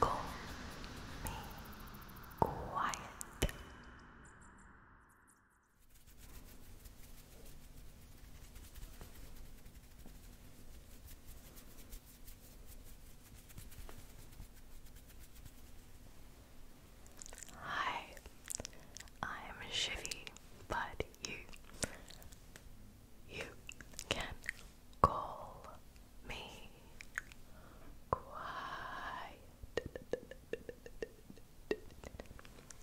Call me quiet. Hi, I'm Shivy, but you you can call me quiet.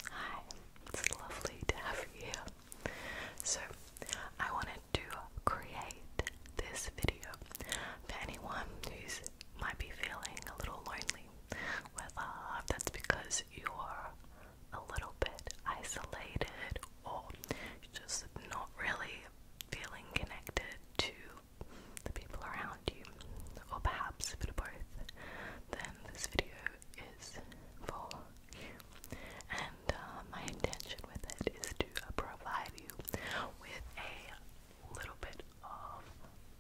Hi, it's lovely to have you So, I wanted to create this video for anyone who's might be feeling a little lonely, whether that's because you're a little bit isolated or just not really feeling connected to the people around you, or perhaps a bit of both, then this video is for you. And uh, my intention with it is to provide you with a little bit of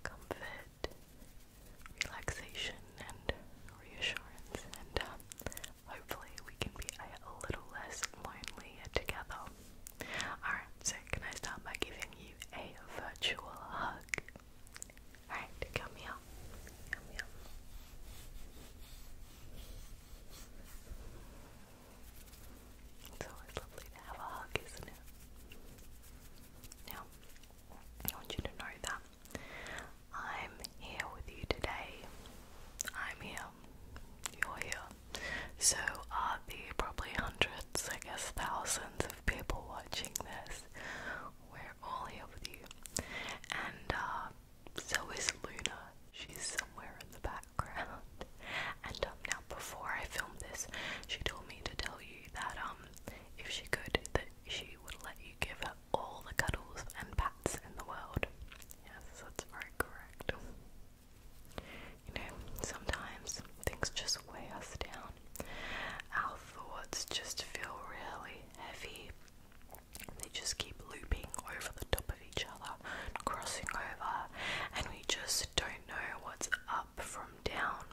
comfort, relaxation, and reassurance, and um, Hopefully, we can be a little less lonely together. Alright, so can I start by giving you a virtual hug? Alright, come here. It's always lovely to have a hug, isn't it? Now, I want you to know that I'm here with you today. I'm here. You're here. So are the probably hundreds, I guess thousands of people watching this. We're all here with you. And uh, so is Luna. She's somewhere in the background. And um, now, before I filmed this, she told me to tell you that um, if she could, that she would let you give up all the cuddles and pats in the world. Yes, that's very correct. You know, sometimes things just weigh us down. Our thoughts just feel really heavy. They just keep looping over the top of each other, crossing over, and we just don't know what's up from down.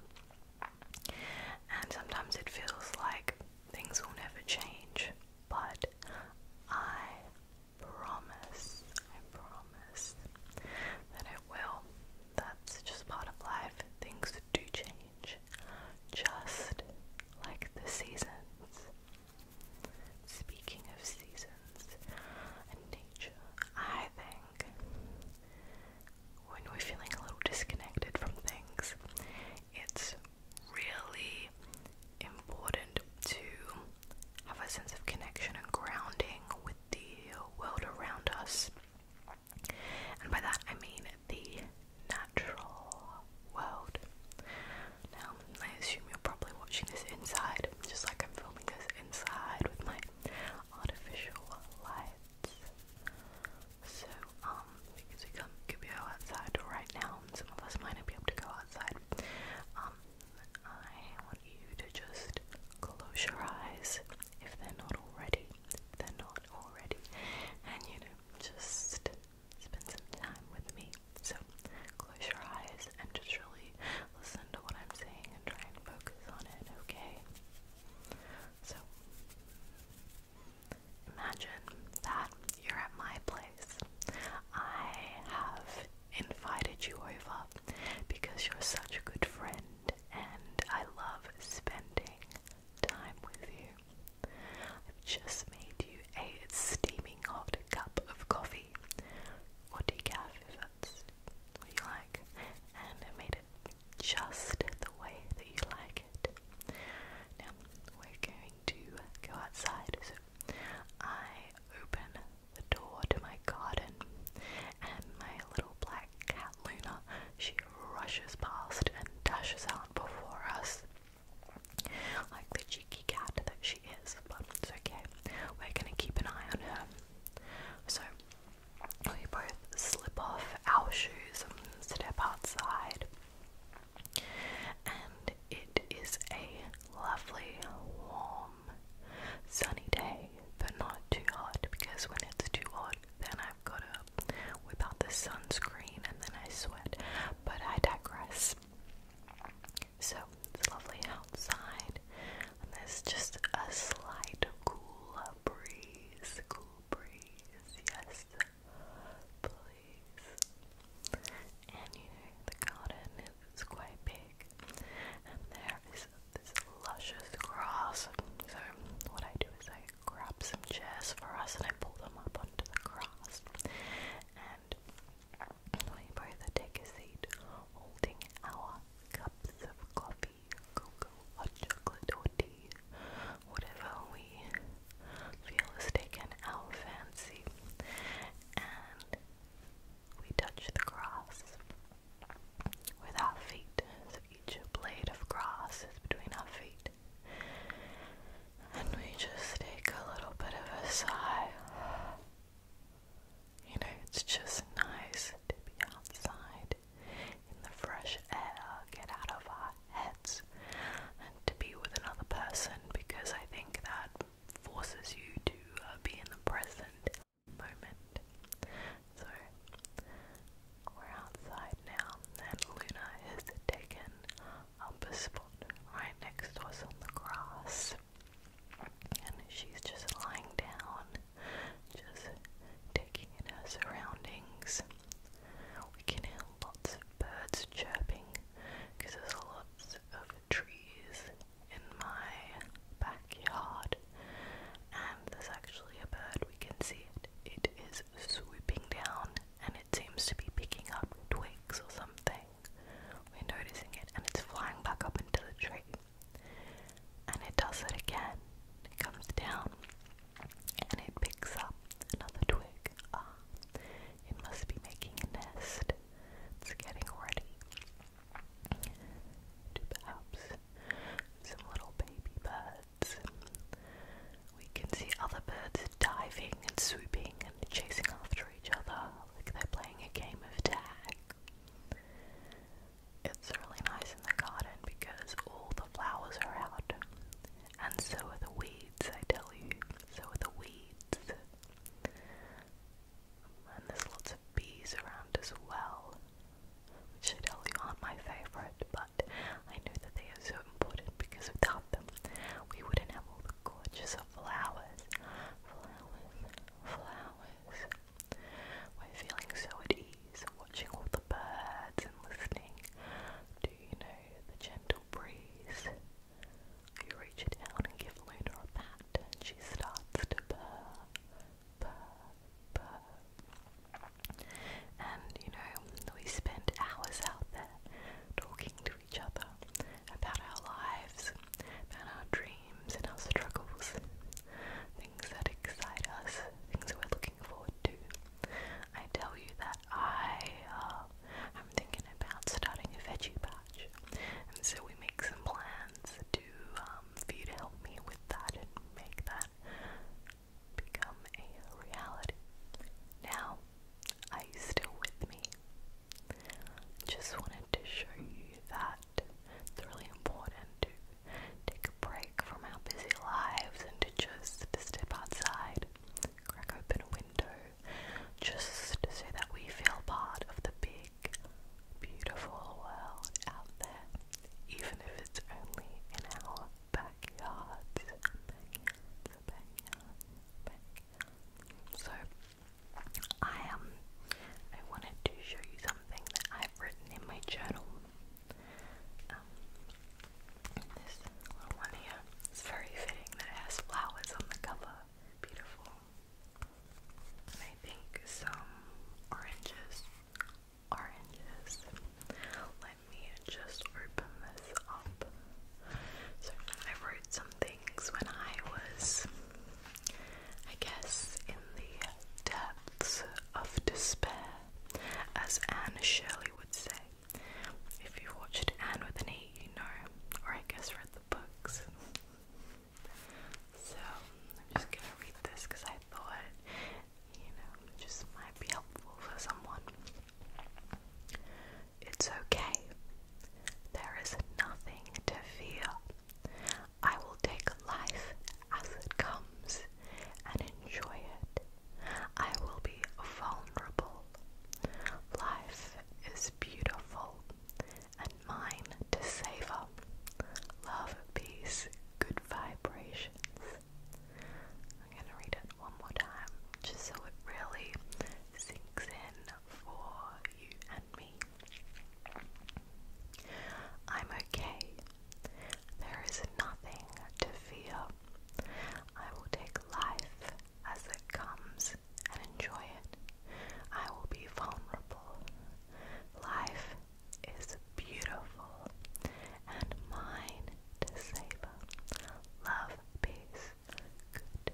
And sometimes it feels like things will never change, but I promise, I promise that it will. That's just part of life. Things do change, just like the seasons. Speaking of seasons and nature, I think when we're feeling a little disconnected from things, it's really important to have a sense of connection and grounding with the world around us. And by that I mean the natural world. Now, I assume you're probably watching this inside, just like I'm filming this inside with my artificial lights. So, um, because we um, could be outside right now, some of us might not be able to go outside. Um, I want you to just close your eyes if they're not already. they're not already. And you know, just spend some time with me. So, close your eyes and just really listen to what I'm saying and try and focus on it, okay? So, Imagine that you're at my place. I have invited you over because you're such a good friend and I love spending time with you. I've just made you a steaming hot cup of coffee or decaf if that's what you like and I made it just the way that you like now we're going to go outside. So I open the door to my garden, and my little black cat Luna she rushes past and dashes out before us, like the cheeky cat that she is. But it's okay. We're gonna keep an eye on her. So we both slip off our shoes and step outside. And it is a lovely, warm, sunny day, but not too hot because when it's too hot, then I've got to whip the sunscreen and then I sweat. But I digress. So it's lovely outside, and there's just a slight cool breeze, cool breeze. Yes, please. And you know, the garden is quite big, and there is this luscious grass. So, what I do is I grab some chairs for us and I pull them up onto the grass. And we both take a seat holding our cups of coffee, cocoa, hot chocolate, whatever we feel is taken our fancy, and we touch the grass with our feet. So each blade of grass is between our feet, and we just take a little bit of a sigh. You know, it's just nice to be outside in the fresh air, get out of our heads, and to be with another person because I think that forces you to uh, be in the present moment. So, we're outside now, and Luna is taking up a spot right next to us on the grass. And she's just lying down, just taking in her surroundings. We can hear lots of birds chirping because there's lots of trees in my backyard, and there's actually a bird. We can see it. It is swooping down, and it seems to be picking up twigs or something. We're noticing it, and it's flying back up into the tree. And it does it again. It comes down and it picks up another twig. Ah, it must be making a nest. It's getting ready to perhaps some little baby birds. We can see other birds diving and swooping and chasing after each other like they're playing a game of tag. It's really nice in the garden because all the flowers are out. And so are the weeds, I tell you. So are the weeds. And there's lots of bees around as well, which I tell you aren't my favourite, but I know that they are so important because without them, we wouldn't have all the gorgeous flowers. Flowers, flowers. We're feeling so at ease watching all birds and listening to, you know, the gentle breeze. You reach down and give Luna a pat and she starts to purr, purr, purr. And, you know, we spend hours out there talking to each other about our lives, about our dreams and our struggles that excite us, things that we're looking forward to. I tell you that I am um, thinking about starting a veggie patch, and so we make some plans to um, for you to help me with that and make that become a reality. Now, are you still with me? Just wanted to show you that it's really important take a break from our busy lives and to just step outside, crack open a window, just so that we feel part of the big, beautiful world out there, even if it's only in our backyards. So, I um, I wanted to show you something that I've written in my journal. Um, this little one here. It's very fitting that it has flowers on the cover. Beautiful. I think some oranges. Oranges. Let me just open this up. So I wrote some things when I was, I guess, in the depths of despair as Anne Shirley would say. If you watched Anne with an E, you know, or I guess read the books. so I'm just gonna read this because I thought, you know, just might be helpful for someone. It's okay. There is nothing to fear. I will take life as it comes and enjoy it. I will be vulnerable. Life is beautiful and mine to savor. Love, peace, good vibrations. I'm going to read it one more time just so it really sinks in for you and me. I'm okay there is nothing to fear. I will take life as it comes and enjoy it. I will be vulnerable. Life is beautiful and mine to savor. Love, peace, good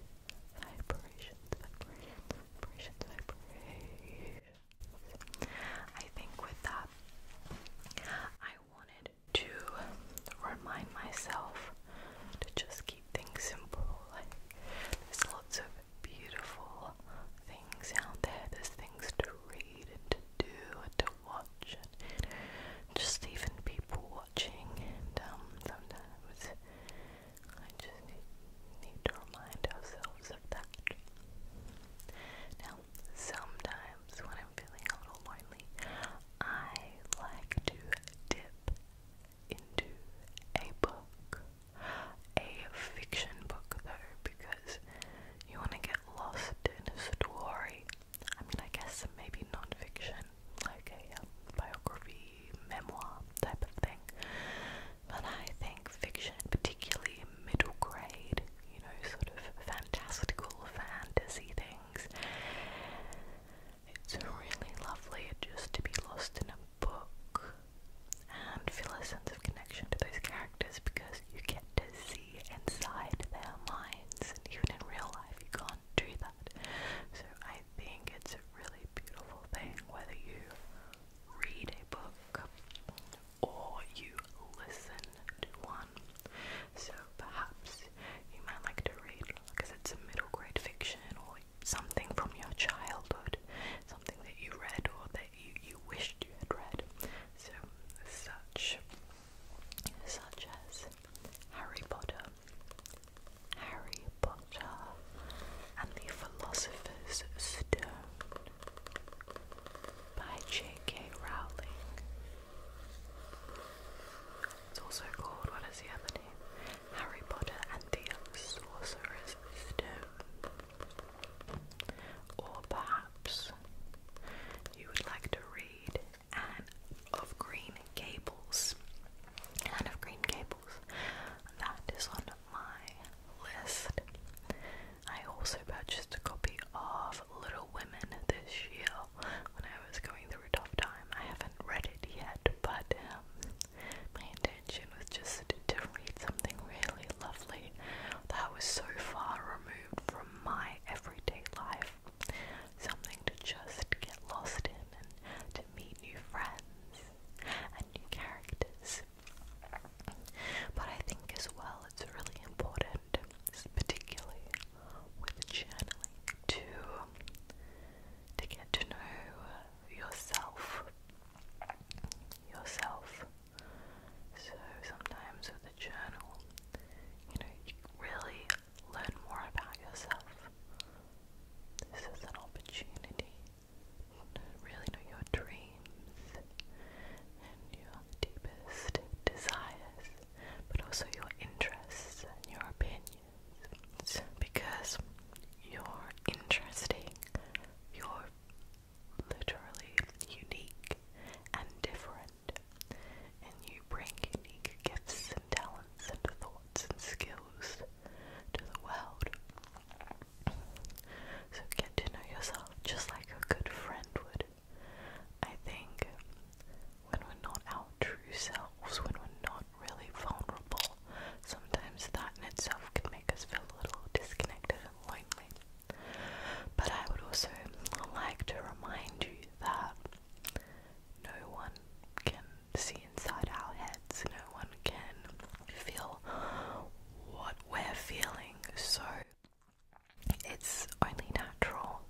vibrations, vibrations, vibrations, I think with that, I wanted to remind myself to just keep things simple. Like, there's lots of beautiful things out there, there's things to read and to do and to watch, and just even people watching. And um, sometimes I just need to remind ourselves of that. Now, sometimes when I'm feeling a little lonely, I like to dip into a book, a fiction book though, because you want to get lost in a story. I mean, I guess maybe non-fiction, like a um, biography, memoir type of thing. But I think fiction, particularly middle grade, you know, sort of fantastical fantasy things. It's really lovely just to be lost in a book and feel a sense of connection to those characters because you get to see inside their minds, and even in real life, you can't do that. So, I think it's a really beautiful thing whether you read a book or you listen to one. So perhaps you might like to read, because it's a middle grade fiction or something from your childhood, something that you read or that you, you wished you had read. So such such as Harry Potter, Harry Potter and the Philosopher's Stone, by J.K. Rowling. It's also called, what is the other name? Harry Potter and the Sorcerer's Stone. Or perhaps you would like to read Anne of Green Gables. Anne of Green Gables. That is on my list. I also purchased a copy of Little Women this year when I was going through a tough time. I haven't read it yet, but um, my intention was just to read something really lovely that was so far removed from my everyday life. Something to just get lost in and to meet new friends and new characters. But I think as well it's really important, particularly with journaling, to to get to know yourself. Yourself. So sometimes with a journal, you know, you really learn more about yourself. This is an opportunity to really know your dreams and your deepest desires, but also your interests and your opinions. Because you're interesting, you're literally unique and different, and you bring unique gifts and talents and thoughts and skills to the world. So get to know yourself just like a good friend would. I think when we're not our true selves, when we're not really vulnerable, sometimes that in itself can make us feel a little disconnected and lonely. But I would also like to remind you that no one can see inside our heads, no one can feel what we're feeling, so it's only natural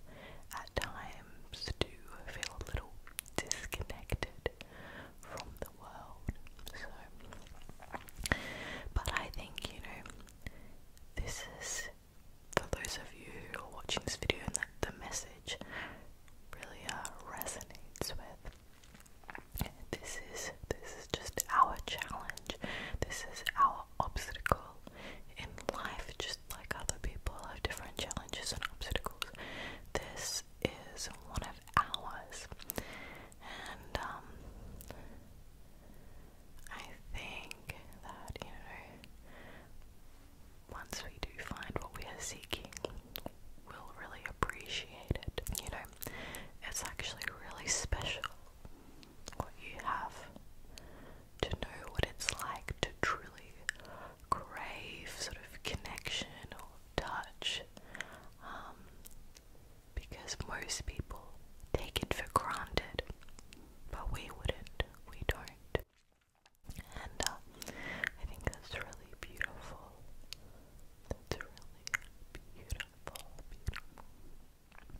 at times to feel a little disconnected from the world. So, but I think, you know, this is for those of you who are watching this video and that the message really uh, resonates with. This is this is just our challenge. This is our obstacle in life, just like other people have different challenges and obstacles. This is one of ours, and um, I think that you know, once we do find what we are seeking, we'll really appreciate it. You know, it's actually really special what you have, to know what it's like to truly crave sort of connection or touch. Um, because most people take it for granted, but we wouldn't, we don't. And uh, I think that's really beautiful. That's really beautiful.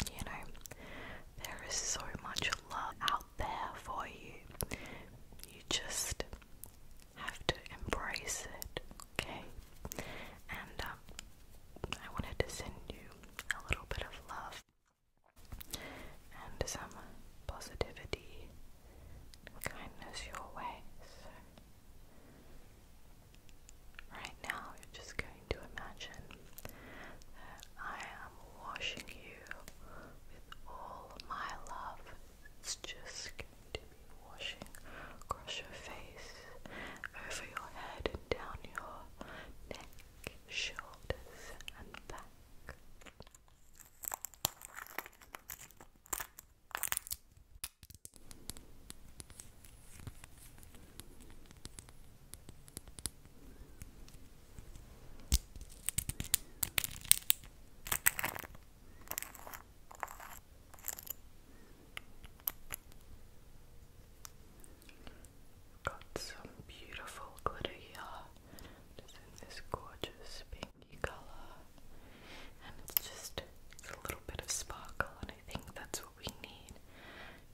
You know, there is so much love out there for you. You just have to embrace it, okay? And um, I wanted to send you a little bit of love and some positivity kindness your way. Right now, you're just going to imagine that I am washing you with all my love. It's just going to be washing across your face, over your head, and down your neck, shoulders, and back. Got some beautiful glitter here. Just in this gorgeous pinky color, and it's just a little bit of sparkle on I think that's what we need,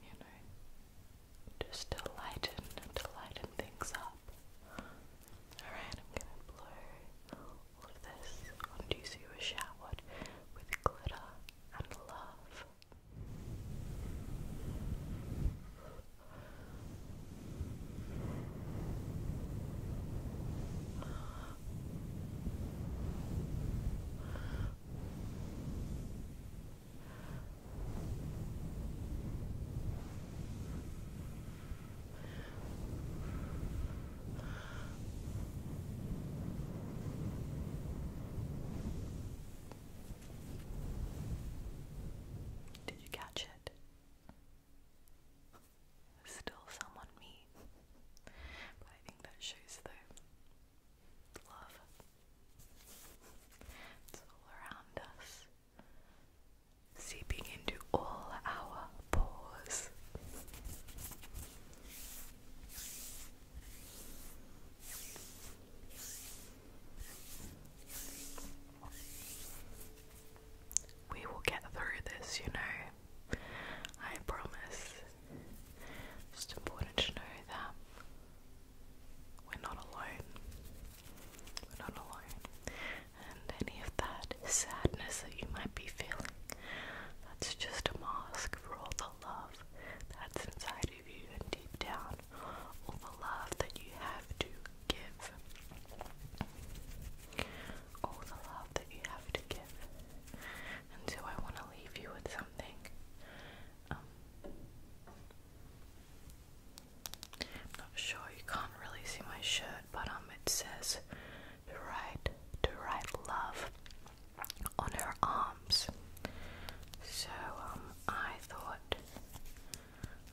you know, just to lighten, to lighten things up. Alright, I'm gonna blow all of this onto you so you with glitter and love. Did you catch it? Still someone me. But I think that shows the love. It's all around us, seeping into all our pores. We will get through this, you know. I promise it's important to know that we're not alone. We're not alone. And any of that sadness that you might be feeling, that's just a mask for all the love that's inside of you and deep down, all the love that you have to give. All the love that you have to give. And so I want leave you with something. Um, I'm not sure, you can't really see my shirt, but um, it says to write, to write love on her arms. So um, I thought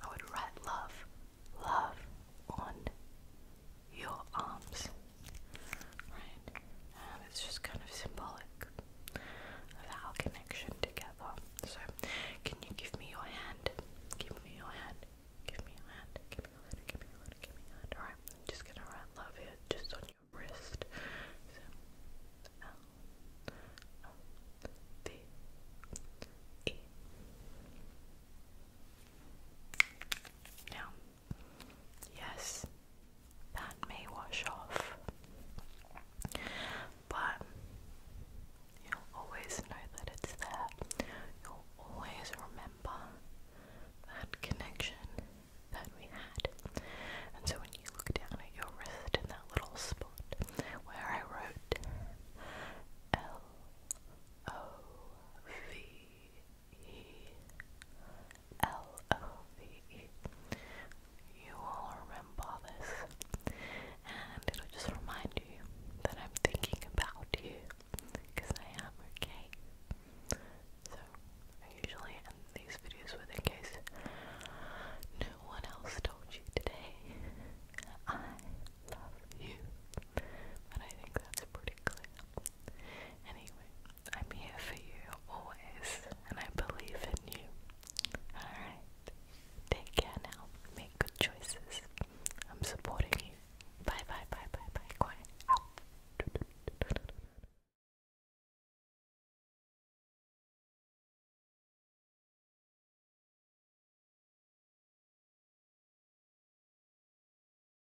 I would write love, love on your arms right? Um, it's just kind of symbolic of our connection together. So, can you give me your hand? Give me your hand. Give me your hand. Give me your hand. Give me your hand. Give just gonna write love here just on your wrist. So, Now, Yes, that may wash off. But you'll always know that it's there. You'll always remember that connection that we had. And so when you look down at your wrist in that little spot where I wrote L O V L O V E. You all remember this, and it'll just remind you that I'm thinking about you because I am okay. So, I usually end these videos with, in case no one else told you today, I love you. But I think that's pretty clear. Anyway, I'm here for you always, and I believe in you. Alright, take care now. Make good choices. I'm supporting you. Bye, bye, bye, bye, bye. Quiet.